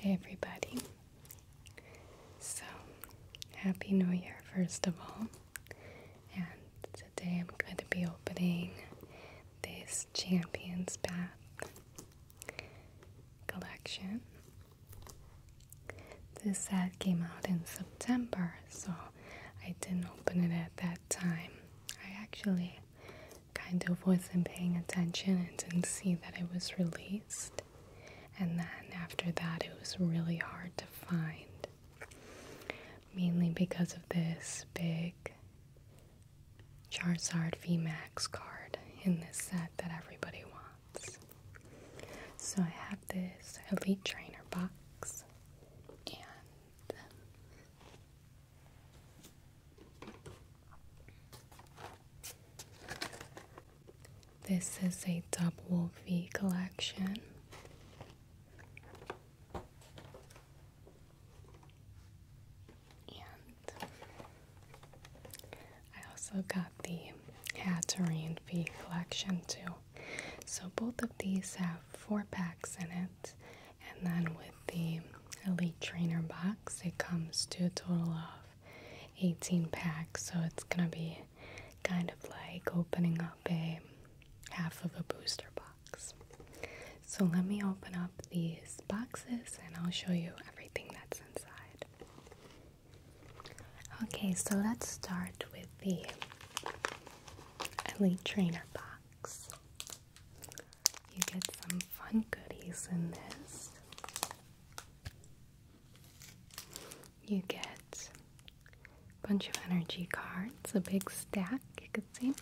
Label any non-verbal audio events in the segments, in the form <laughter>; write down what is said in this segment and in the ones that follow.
Hey everybody. So, Happy New Year, first of all. And today I'm going to be opening this Champions Bath collection. This set came out in September, so I didn't open it at that time. I actually kind of wasn't paying attention and didn't see that it was released. And then after that, it was really hard to find. Mainly because of this big Charizard Max card in this set that everybody wants. So I have this Elite Trainer box, and this is a Dub V collection. And I also got the Hatterine V collection too. So both of these have four packs in it. And then with the Elite Trainer box. It comes to a total of 18 packs, so it's gonna be kind of like opening up a half of a booster box. So let me open up these boxes and I'll show you everything that's inside. Okay, so let's start with the Elite Trainer box. You get some fun goodies in this. You get a bunch of energy cards, a big stack, you could see.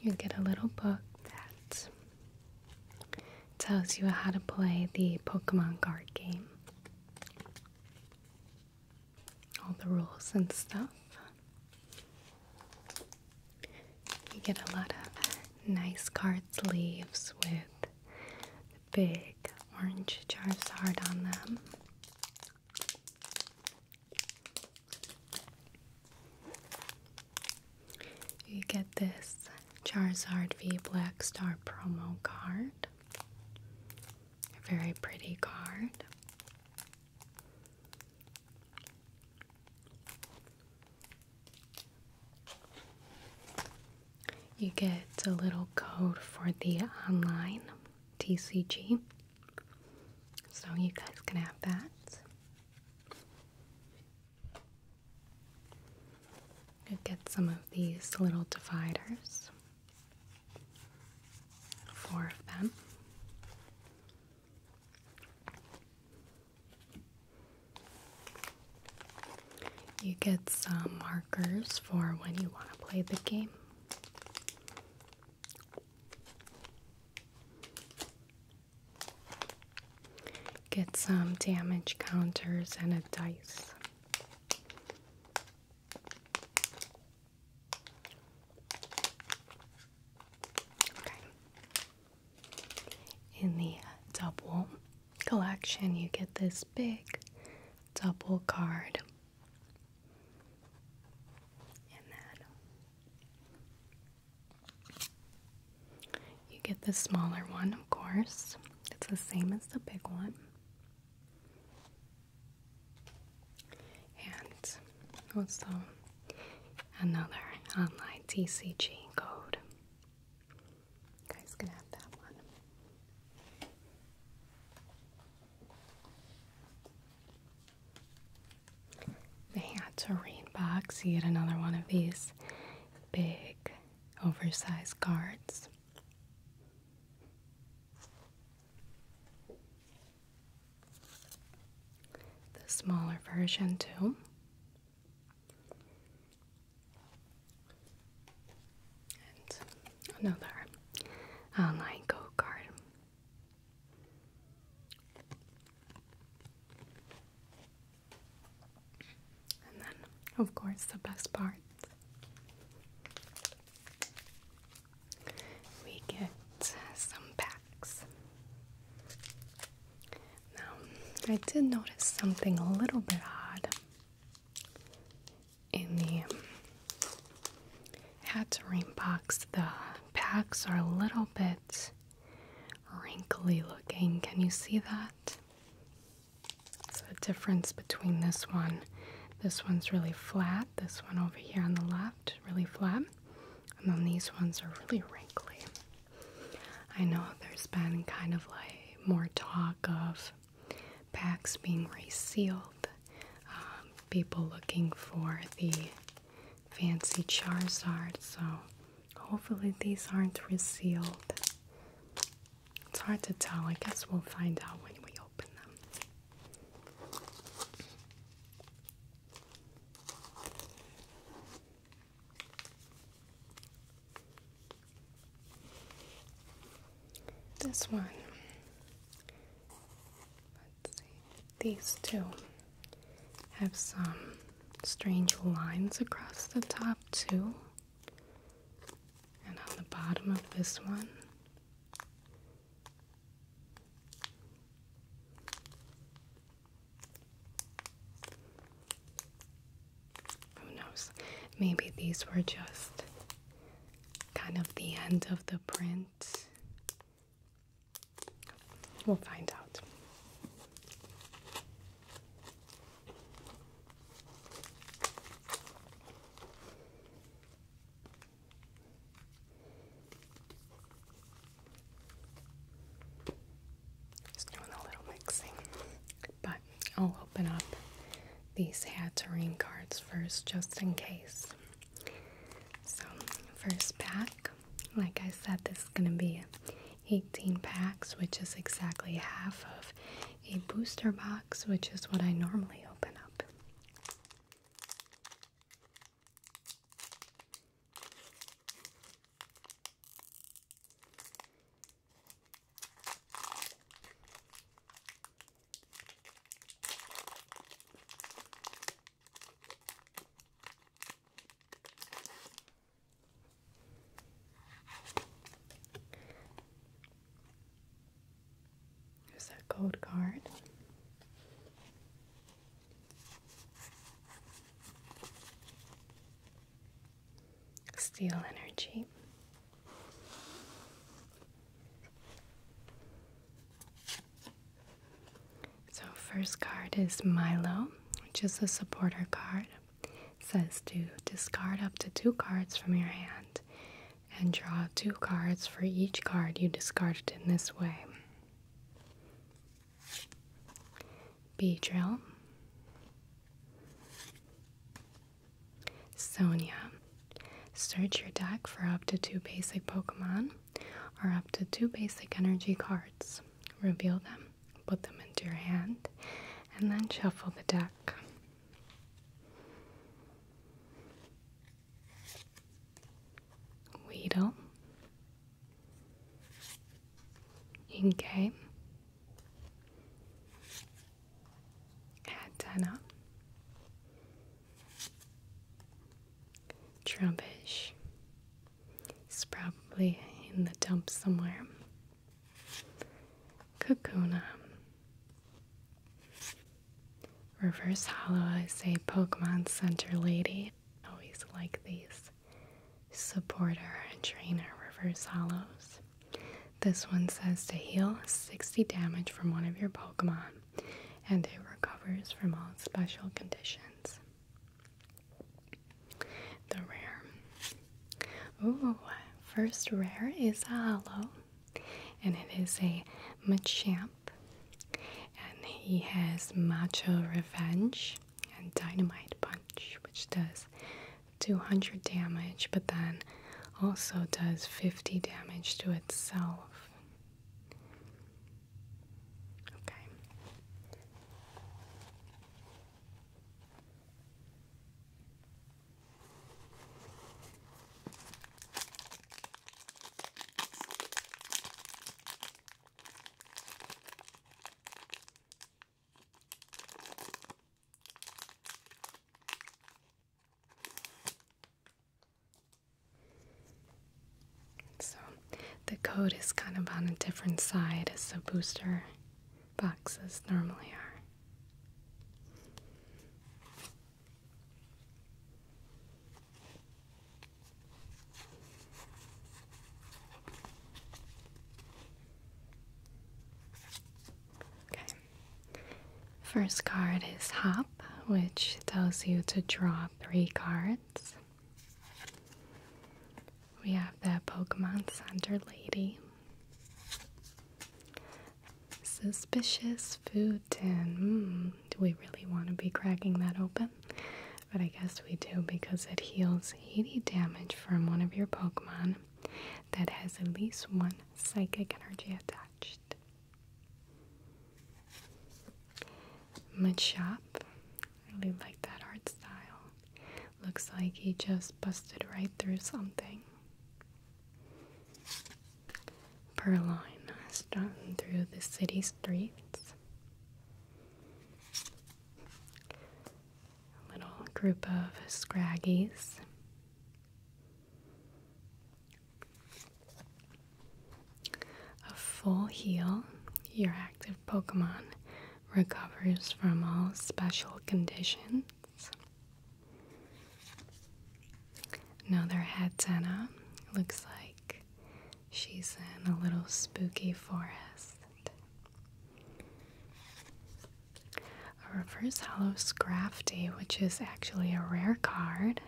You get a little book that tells you how to play the Pokemon card game. All the rules and stuff. You get a lot of nice card sleeves with big orange Jarvis heart on them. You get this Charizard V Black Star promo card. A very pretty card. You get a little code for the online TCG, so you guys can have that. You get some of these little dividers, four them. You get some markers for when you want to play the game. Get some damage counters and a dice. In the uh, double collection, you get this big double card. And that. You get the smaller one, of course. It's the same as the big one. And also another online TCG code. You guys gonna have that one. They had terrain box, yet another one of these big oversized cards. The smaller version, too. And another online go kart. And then, of course, the best part we get some bags. Now, I did notice something a little bit odd in the um, Hatterene rebox. The packs are a little bit wrinkly looking. Can you see that? So the difference between this one. This one's really flat. This one over here on the left, really flat. And then these ones are really wrinkly. I know there's been kind of like more talk of packs being resealed, um, people looking for the fancy Charizard, so hopefully these aren't resealed. It's hard to tell. I guess we'll find out when we open them. This one, let's see, these two have some strange lines across the top, too, and on the bottom of this one, who knows? Maybe these were just kind of the end of the print. We'll find out. Just doing a little mixing. But I'll open up these Hatterene cards first, just in case. So, first pack, like I said, this is going to be 18 packs, which is exactly half of a booster box, which is what I normally open up. There's that gold card. Steel energy. So, first card is Milo, which is a supporter card. says to discard up to two cards from your hand and draw two cards for each card you discarded in this way. B Drill, Sonia. Search your deck for up to two basic Pokemon or up to two basic energy cards. Reveal them, put them into your hand, and then shuffle the deck. Weedle, 인게 Katana Trubbish He's probably in the dump somewhere. Kakuna Reverse Hollow I say, Pokemon Center lady. Always like these supporter and trainer reverse hollows. This one says to heal 60 damage from one of your Pokemon and it recovers from all special conditions. The rare. Ooh, first rare is a hollow and it is a Machamp and he has Macho Revenge and dynamite punch, which does 200 damage, but then also does 50 damage to itself. Okay. So the code is kind of on a different side as the booster boxes normally are. Okay. First card is Hop, which tells you to draw three cards. We have the Pokemon Center Lady, Suspicious Food Tin. Hmm, do we really want to be cracking that open? But I guess we do because it heals any damage from one of your Pokemon that has at least one psychic energy attached. Machop. I really like that art style. Looks like he just busted right through something. Purloin, strutting through the city streets. A little group of scraggies. A full heal, your active Pokemon recovers from all special conditions. Now their head antenna looks like She's in a little spooky forest. A reverse hollow Scrafty, which is actually a rare card,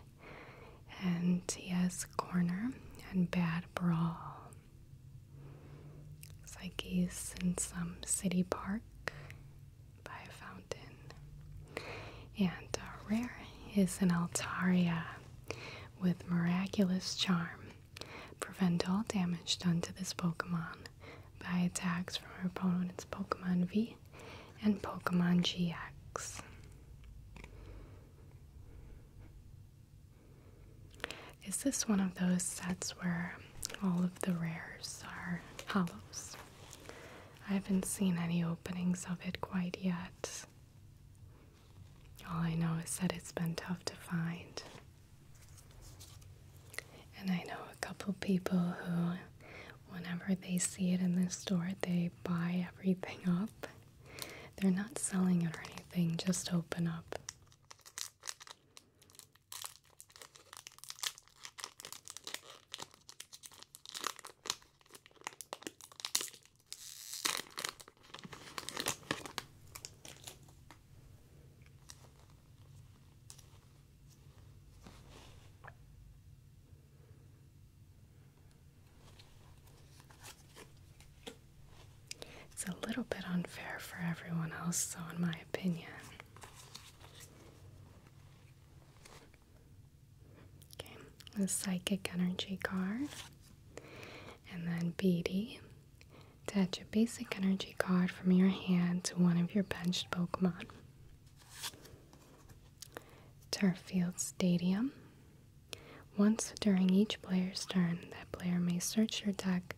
and he has Corner and Bad Brawl. It's like in some city park by a fountain. And a uh, rare is an Altaria, with miraculous charm. Prevent all damage done to this Pokemon by attacks from your opponent's Pokemon V and Pokemon GX. Is this one of those sets where all of the rares are hollows? I haven't seen any openings of it quite yet. All I know is that it's been tough to find. And I know a couple people who, whenever they see it in the store, they buy everything up. They're not selling it or anything, just open up. It's a little bit unfair for everyone else, so in my opinion. Okay, the psychic energy card and then Beady. Attach a basic energy card from your hand to one of your benched Pokemon. Turffield Stadium. Once during each player's turn, that player may search your deck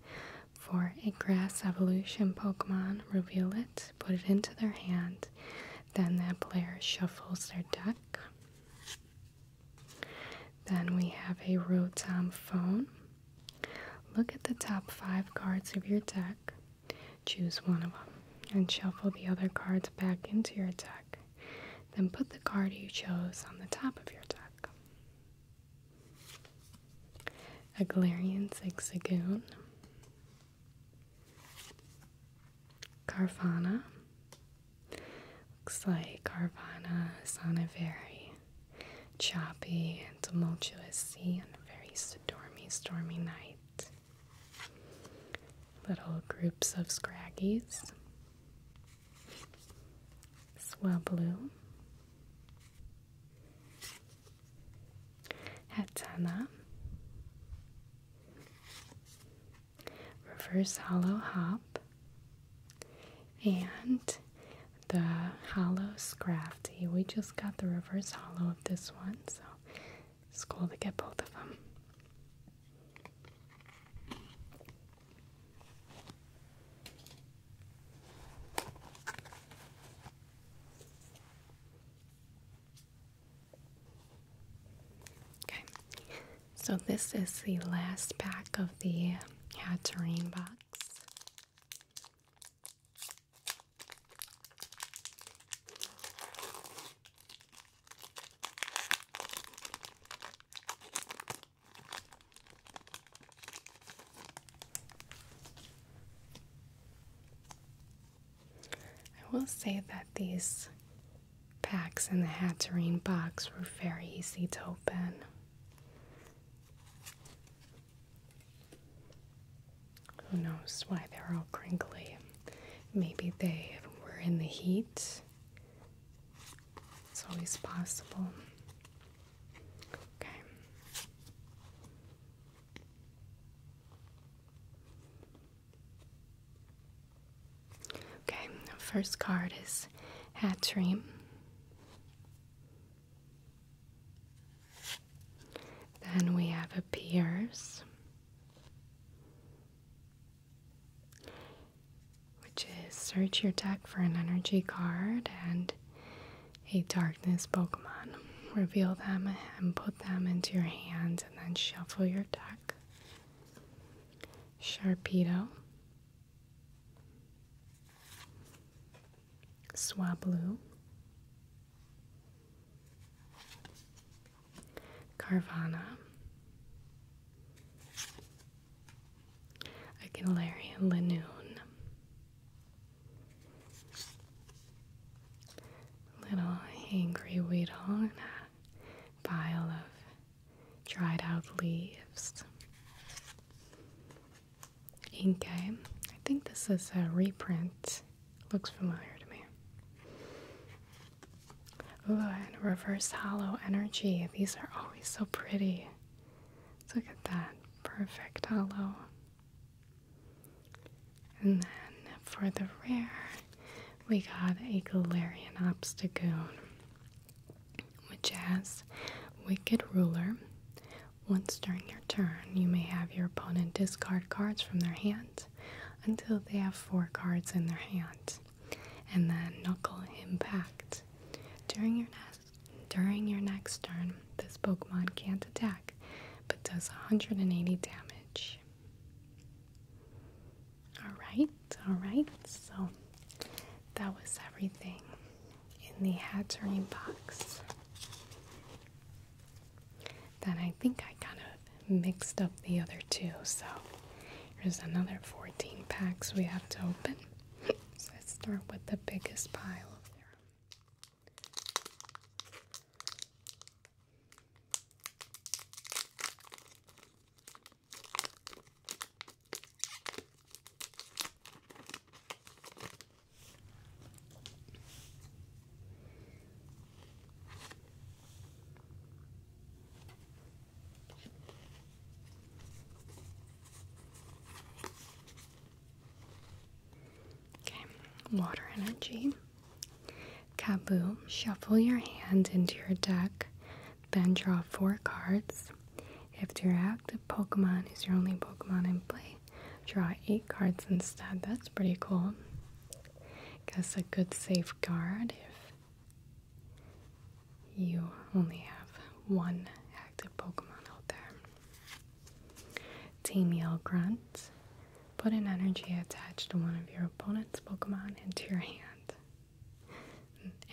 for a grass evolution Pokemon, reveal it, put it into their hand, then that player shuffles their deck. Then we have a Rotom phone. Look at the top five cards of your deck, choose one of them, and shuffle the other cards back into your deck. Then put the card you chose on the top of your deck. A Glarian Zigzagoon, Carvana, Looks like Carvana is on a very choppy and tumultuous sea on a very stormy, stormy night. Little groups of scraggies. Swell blue. Hetana reverse hollow hop, and the Hollows Crafty. We just got the reverse hollow of this one, so it's cool to get both of them. Okay, so, this is the last pack of the Hatterine box. I will say that these packs in the Hatterene box were very easy to open. Who knows why they're all crinkly? Maybe they were in the heat. It's always possible. Okay. Okay, first card is Hat Dream. Then we have Appears, which is search your deck for an energy card and a darkness Pokemon. Reveal them and put them into your hands, and then shuffle your deck. Sharpedo. Swablu, Carvana, Aguilarian Lanoon, Little Angry Weedle, and a pile of dried out leaves. Inke. Eh? I think this is a reprint. Looks familiar to me. Ooh, and reverse hollow energy. These are always so pretty. look at that. Perfect hollow. And then for the rare, we got a Galarian Obstagoon which has Wicked Ruler. Once during your turn, you may have your opponent discard cards from their hand until they have four cards in their hand, and then Knuckle Impact. During your next during your next turn, this Pokemon can't attack, but does 180 damage. Alright, alright, so that was everything in the Hatterene box. Then I think I kind of mixed up the other two, so here's another 14 packs we have to open. <laughs> so let's start with the biggest pile of there. Okay, water energy. Kabu, shuffle your hand into your deck then draw four cards. If your active Pokemon is your only Pokemon in play, draw eight cards instead. That's pretty cool. Guess a good safeguard if you only have one active Pokemon out there. Team Yell Grunt. Put an energy attached to one of your opponent's Pokemon into your hand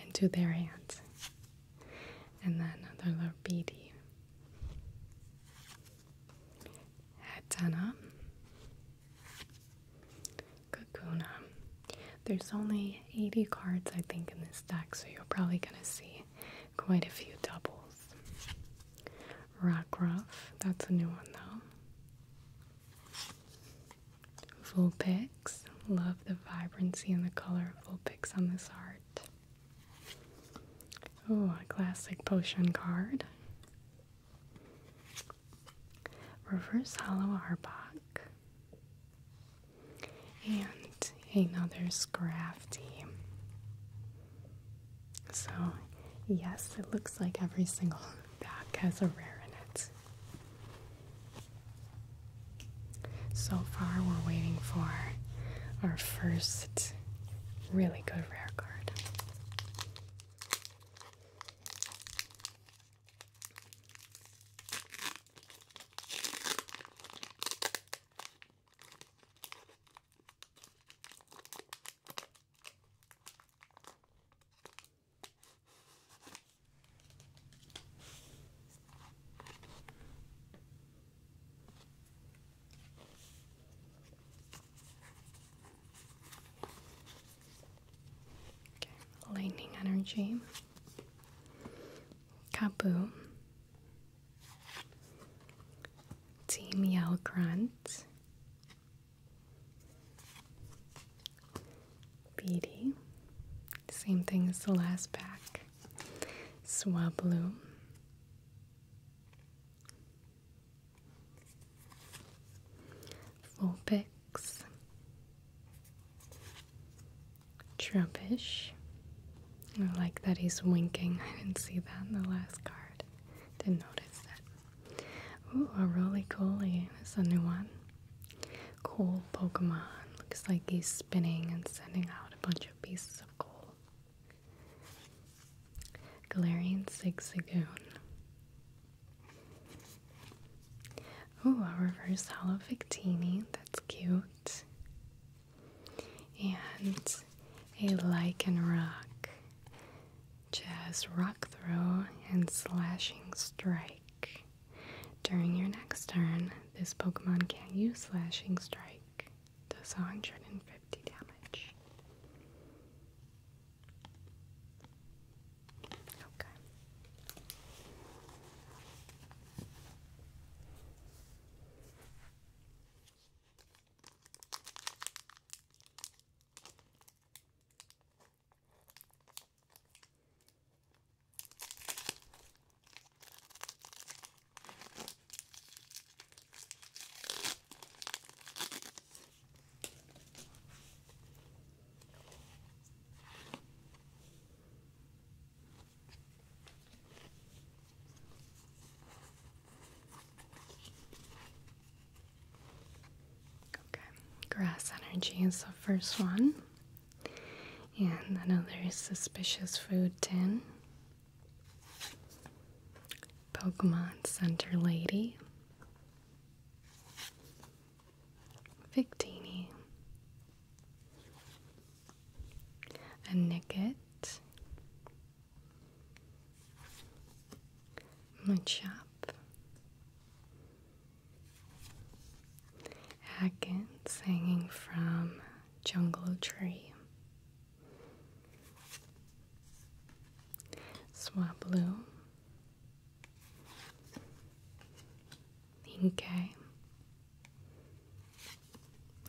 into their hands. And then another little beady. Kakuna. There's only 80 cards, I think, in this deck, so you're probably going to see quite a few doubles. Rockruff, that's a new one though. Vulpix. Love the vibrancy and the color of Vulpix on this art. Oh, a classic potion card. Reverse Hollow Arbok. And another Scrafty. So, yes, it looks like every single pack <laughs> has a rare in it. So far, we're waiting for our first really good rare card. Okay, lightning energy. kaboo, Team Yell Grunt. Beady, same thing as the last pack. Swablu. Vulpix. Trumpish. I like that he's winking. I didn't see that in the last card. Didn't notice that. Ooh, a roly coly. That's a new one. Coal Pokemon. Looks like he's spinning and sending out a bunch of pieces of coal. Galarian Zigzagoon. Oh, a reverse hollow Victini. That's cute. And a Lichen Rock. Jazz Rock Throw and Slashing Strike. During your next turn, this Pokemon can use Slashing Strike. Does 150 damage. Okay. Okay, grass energy is the first one. And another Suspicious Food Tin. Pokemon Center Lady. Victini. A My Machop. Atkins hanging from Jungle Tree. Swablu. Inkay.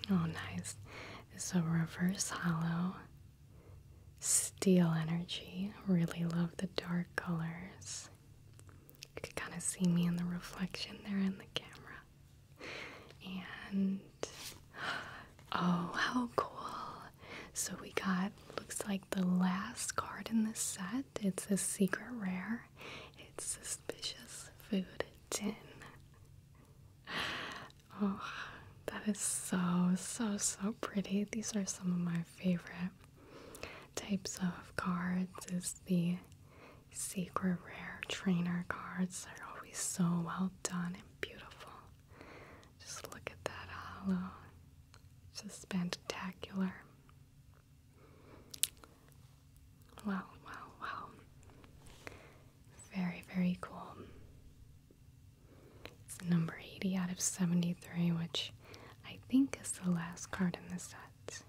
Oh, nice. It's a reverse hollow. Steel energy. Really love the dark colors. You can kind of see me in the reflection there in the camera. And oh, how cool! So we got looks like the last card in this set. It's a secret rare. It's suspicious food tin. Oh, that is so so so pretty. These are some of my favorite types of cards is the secret rare trainer cards. They're always so well done and beautiful. Just look at that hollow. Just spectacular. Wow, wow, wow. Very, very cool. It's number 80 out of 73, which I think is the last card in the set.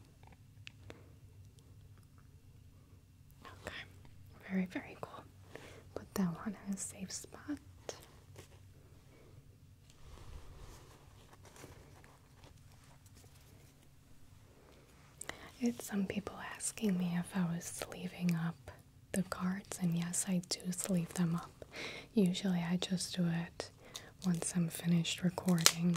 Okay, very, very cool. Put that one in a safe spot. I some people asking me if I was sleeving up the cards, and yes, I do sleeve them up. Usually, I just do it once I'm finished recording.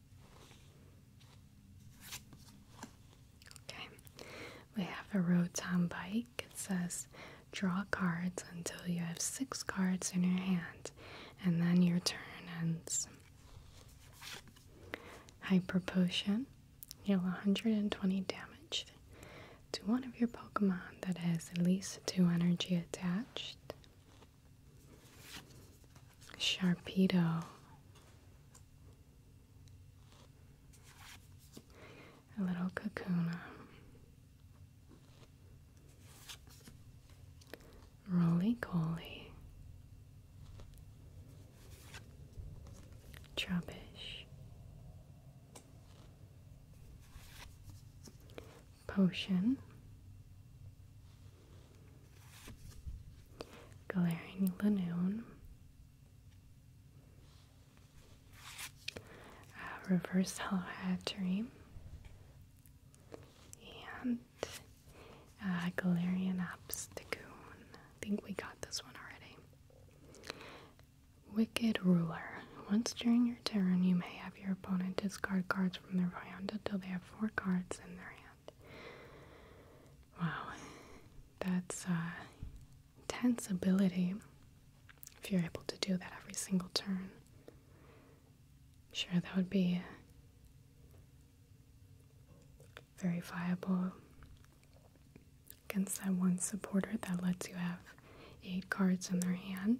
Okay, we have a Rotom bike. It says draw cards until you have six cards in your hand, and then your turn ends. Hyper Potion. Heal 120 damage to one of your Pokemon that has at least two energy attached. Sharpedo. A little cocoon. Roly Coly. Trubbish potion. Glaring Lanoon. Uh, reverse Hollow Dream, And uh, Galarian Obstagoon. I think we got this one already. Wicked Ruler. Once during your turn, you may have your opponent discard cards from their hand until they have four cards in their hand. Wow, that's uh, tensibility. if you're able to do that every single turn. Sure, that would be uh, very viable against that one supporter that lets you have eight cards in their hand.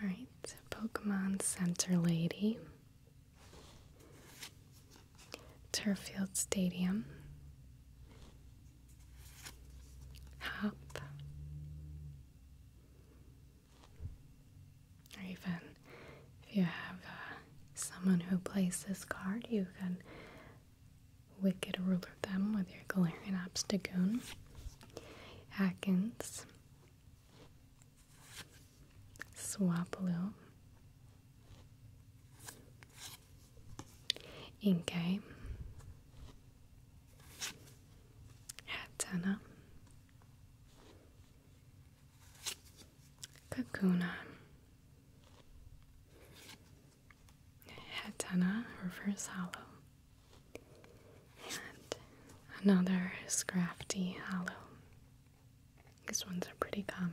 All right, Pokemon Center Lady, Turfield Stadium, Hop, or even if you have uh, someone who plays this card, you can wicked ruler them with your Galarian Obstagoon. Atkins. Swapaloo. Inkay. Hatana Kakuna Hatana reverse hollow and another Scrafty hollow. These ones are pretty common.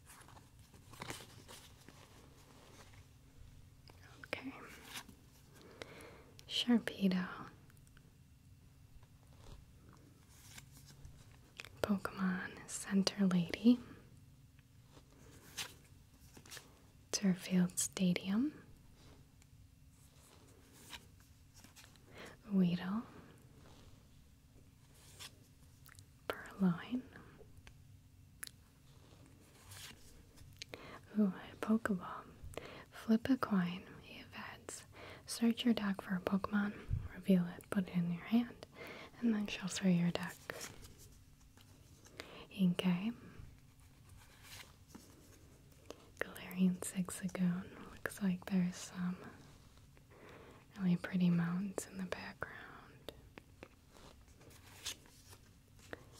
Okay. Sharpedo. Pokemon Center Lady. Turfield Stadium. Weedle. Purloin. Ooh, a Pokeball. Flip a coin, if heads. Search your deck for a Pokemon, reveal it, put it in your hand, and then shuffle your deck. Okay. Galarian Zigzagoon. Looks like there's some really pretty mountains in the background.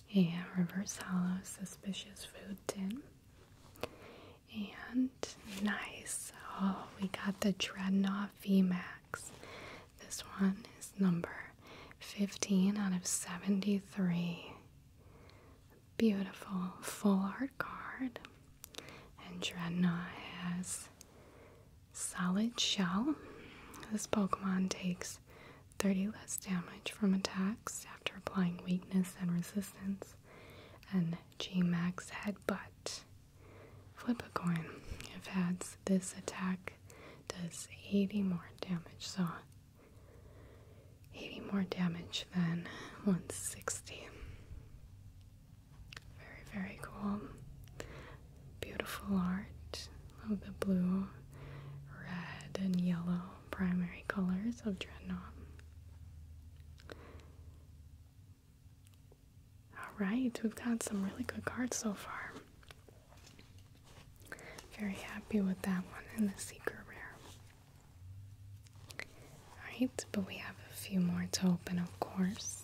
Yeah, reverse hollow suspicious food tin, and nice. Oh, we got the Dreadnought Max. This one is number 15 out of 73. Beautiful full art card, and Dreadnought has Solid Shell. This Pokemon takes 30 less damage from attacks after applying weakness and resistance. And Gmax Headbutt. Flip a coin. If adds this attack does 80 more damage, so 80 more damage than 160. Very, very cool beautiful art of the blue, red, and yellow primary colors of Dreadnought. Alright, we've got some really good cards so far. Very happy with that one and the secret Rare. Alright, but we have a few more to open, of course.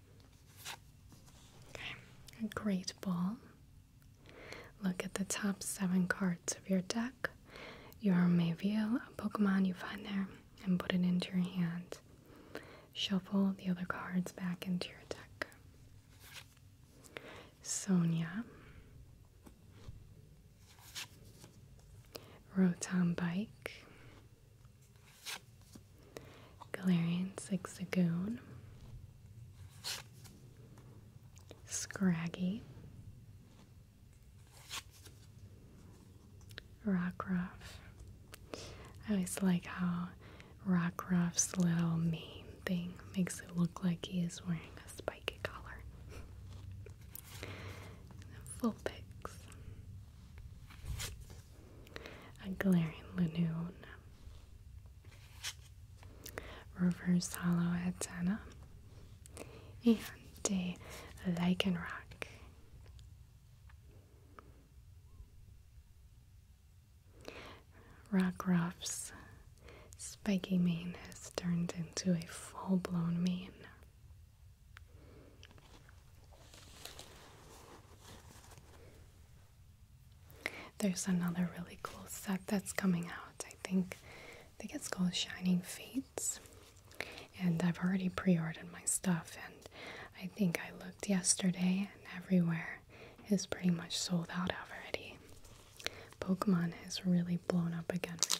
Okay, a great ball. Look at the top seven cards of your deck. You may reveal a Pokemon you find there and put it into your hand. Shuffle the other cards back into your deck. Sonia. Rotom Bike. Galarian Zigzagoon, Scraggy, Rockruff. I always like how Rockruff's little mane thing makes it look like he is wearing a spiky collar. Vulpix, <laughs> a glaring lanoon. Reverse hollow antenna and a lichen rock. Rock Ruff's spiky mane has turned into a full blown mane. There's another really cool set that's coming out. I think I think it's called Shining Fates. And I've already pre-ordered my stuff and I think I looked yesterday and everywhere is pretty much sold out already. Pokemon has really blown up again recently.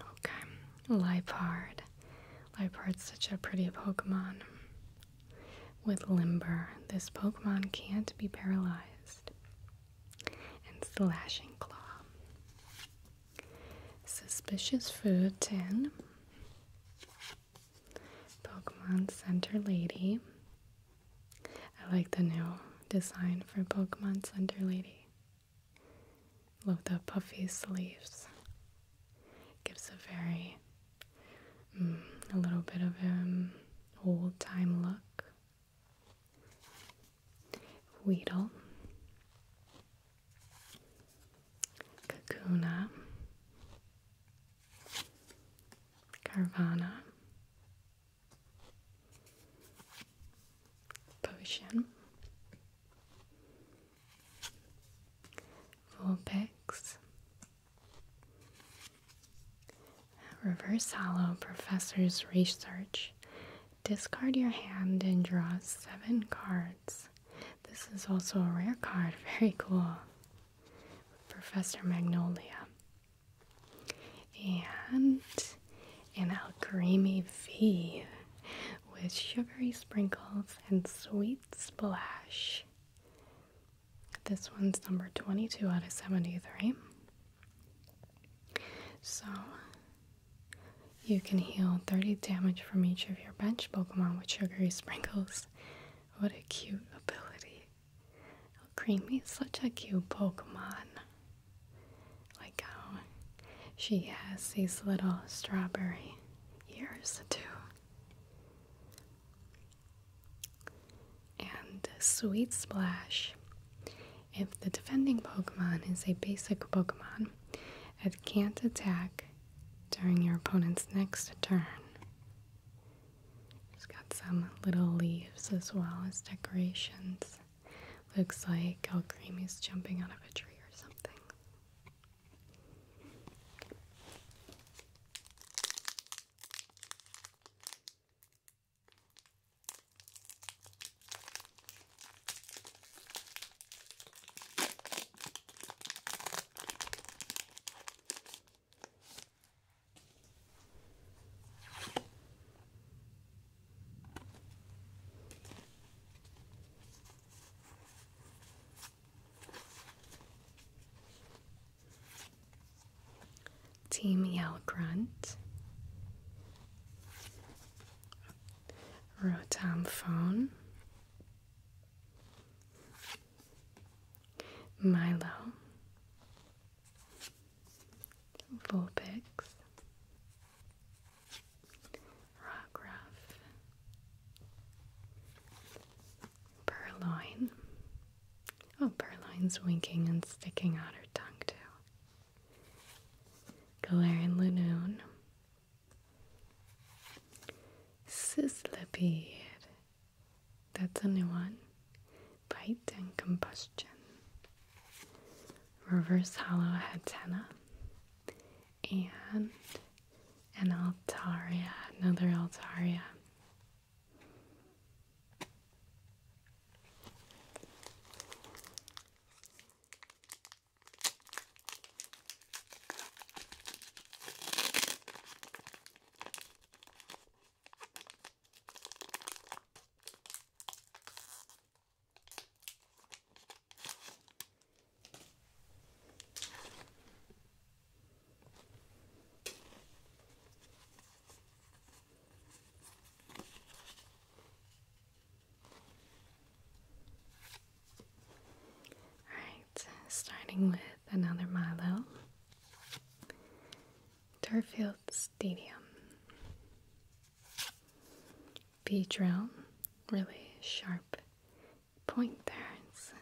Okay, Lipard. Lipard's such a pretty Pokemon. With Limber, this Pokemon can't be paralyzed. And Slashing Claw. Suspicious Food Tin. Pokemon Center Lady. I like the new design for Pokemon Center Lady. Love the puffy sleeves. Gives a very, mm, a little bit of an um, old time look. Weedle. Kakuna. Carvana. Potion, Vulpix, Reverse Hollow Professor's Research. Discard your hand and draw seven cards. This is also a rare card, <laughs> very cool. Professor Magnolia and an al creamy V with sugary sprinkles and sweet splash. This one's number 22 out of 73. So you can heal 30 damage from each of your bench Pokemon with sugary sprinkles. What a cute ability. Creamy is such a cute Pokemon. Like how she has these little strawberry ears too. And Sweet Splash. If the defending Pokemon is a basic Pokemon, it can't attack during your opponent's next turn. It's got some little leaves as well as decorations. Looks like El Alcremy's jumping out of a tree or something. Team Yell Grunt, Rotom Phone, Milo, Vulpix, Rockruff, Purloin. Oh, Purloin's winking and sticking out her tongue too. Galarian Lunoon, Sizzlipede. That's a new one. Bite and combustion reverse hollow antenna and an altaria, another altaria. Alright, starting with another Milo. Turfield Stadium. B drill, really sharp point there, it's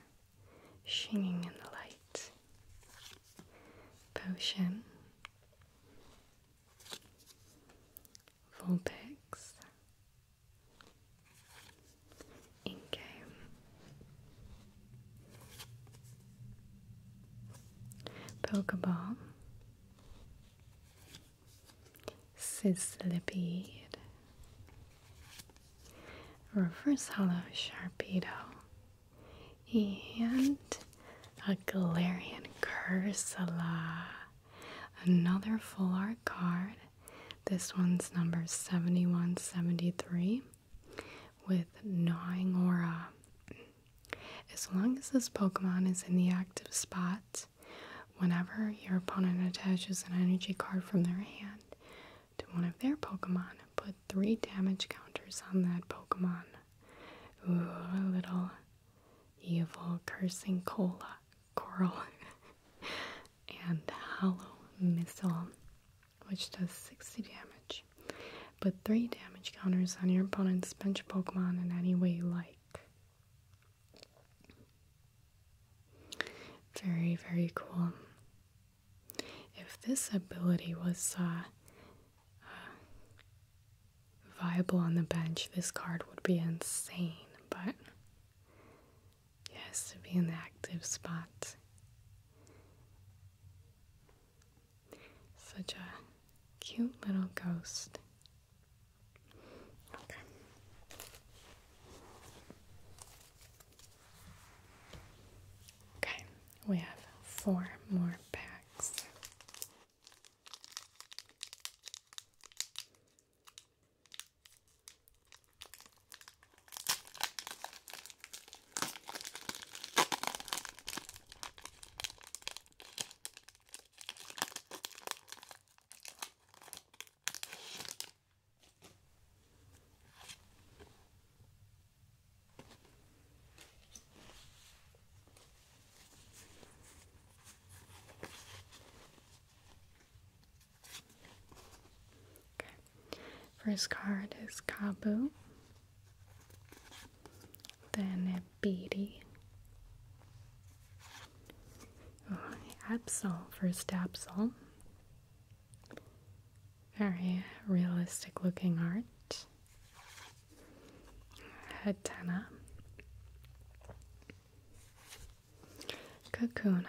shining in the light. Potion, Vulpix, Inke. Pokeball, Sislipede, Reverse Hollow Sharpedo, and a Galarian Cursula. Another full art card. This one's number 7173 with Gnawing Aura. As long as this Pokemon is in the active spot, whenever your opponent attaches an energy card from their hand to one of their Pokemon, put three damage counters on that Pokemon. Ooh, a little evil cursing cola, coral, <laughs> and hollow missile, which does 60 damage. Put three damage counters on your opponent's bench Pokemon in any way you like. Very, very cool. If this ability was uh, uh, viable on the bench, this card would be insane, but yes, to be in the active spot. Such a cute little ghost. Okay. we have four more packs. Okay. First card is Kabu then beady. Oh, Absol, first Absol. Very realistic looking art. Hatena. Kakuna.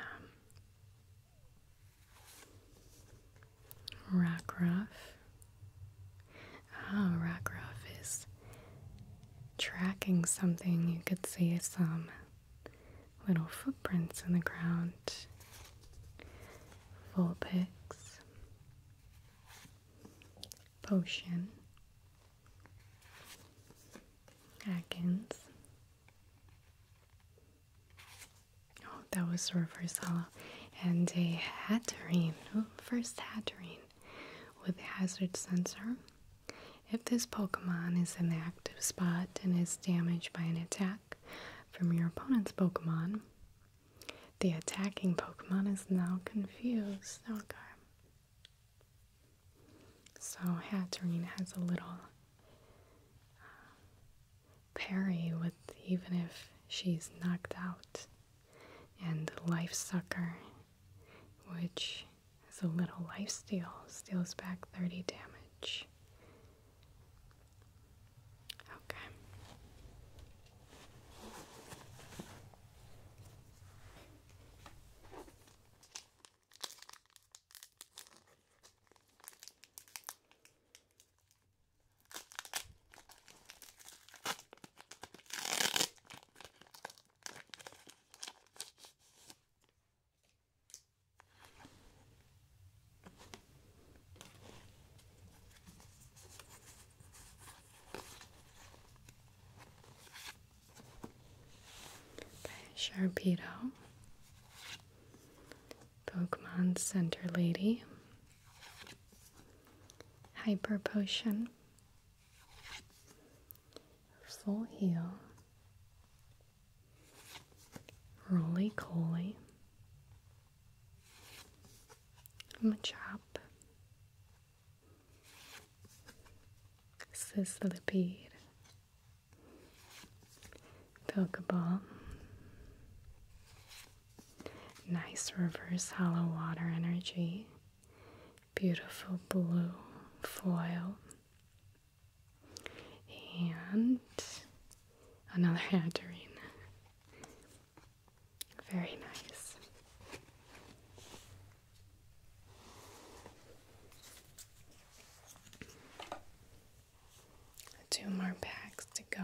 Rockruff. Oh, Rockruff is tracking something. You could see some little footprints in the ground. Vulpix. Potion. Atkins. Oh, that was reverse hollow. And a Hatterene. Oh, first Hatterene with hazard sensor. If this Pokemon is in the active spot and is damaged by an attack from your opponent's Pokemon, the attacking Pokemon is now confused. Okay. So Hatterene has a little uh, parry with even if she's knocked out and the life sucker, which is a little life steal, steals back 30 damage. Okay by Sharpedo, Pokemon Center Lady, Hyper Potion, full heel, roly coly, chop, sislipede, pokeball, Nice reverse hollow water energy beautiful blue foil. And another adarine. <laughs> Very nice. Two more packs to go.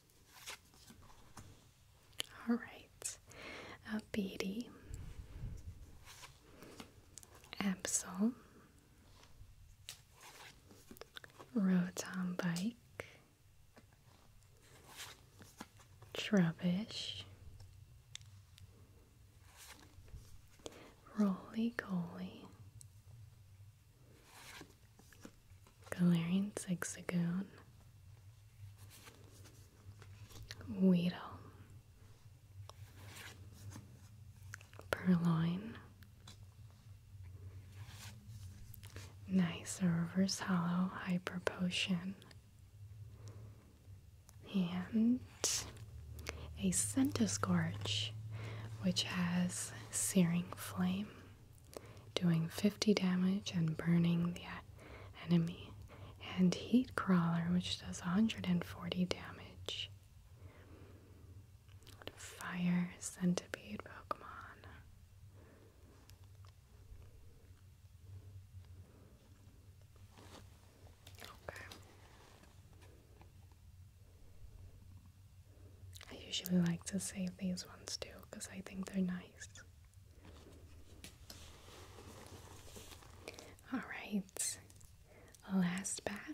All right, a uh, beady, Absol, Rotom Bike, Trubbish, Roly Poly. Galarian Zigzagoon, Weedle, Purloin, Nice, a Reverse Hollow Hyper Potion, and a Scentiscorch, which has Searing Flame doing 50 damage and burning the enemy, and Heat Crawler, which does 140 damage. Fire Centipede Pokemon. Okay. I usually like to save these ones too because I think they're nice. Alright, last pack.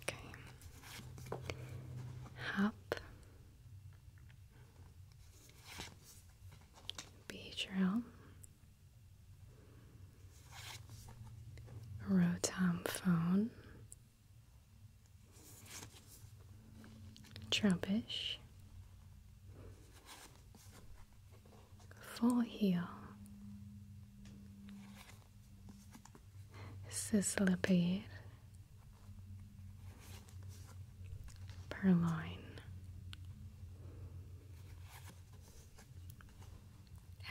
Okay. Hop. Beach trail. Rotom phone, Trumpish, Full Heel, Sislipid, perline.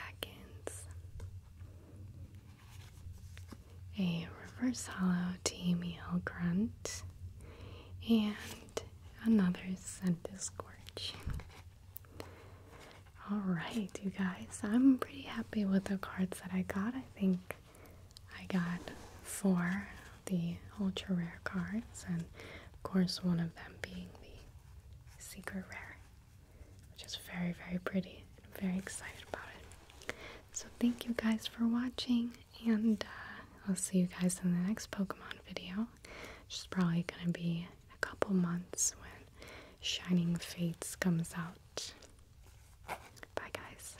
Atkins. A reverse hollow TML grunt and another scented scorch. Alright, you guys, I'm pretty happy with the cards that I got. I think I got four of the ultra rare cards and of course, one of them being the Secret Rare, which is very, very pretty. I'm very excited about it. So, thank you guys for watching, and uh, I'll see you guys in the next Pokemon video, which is probably going to be a couple months when Shining Fates comes out. Bye, guys.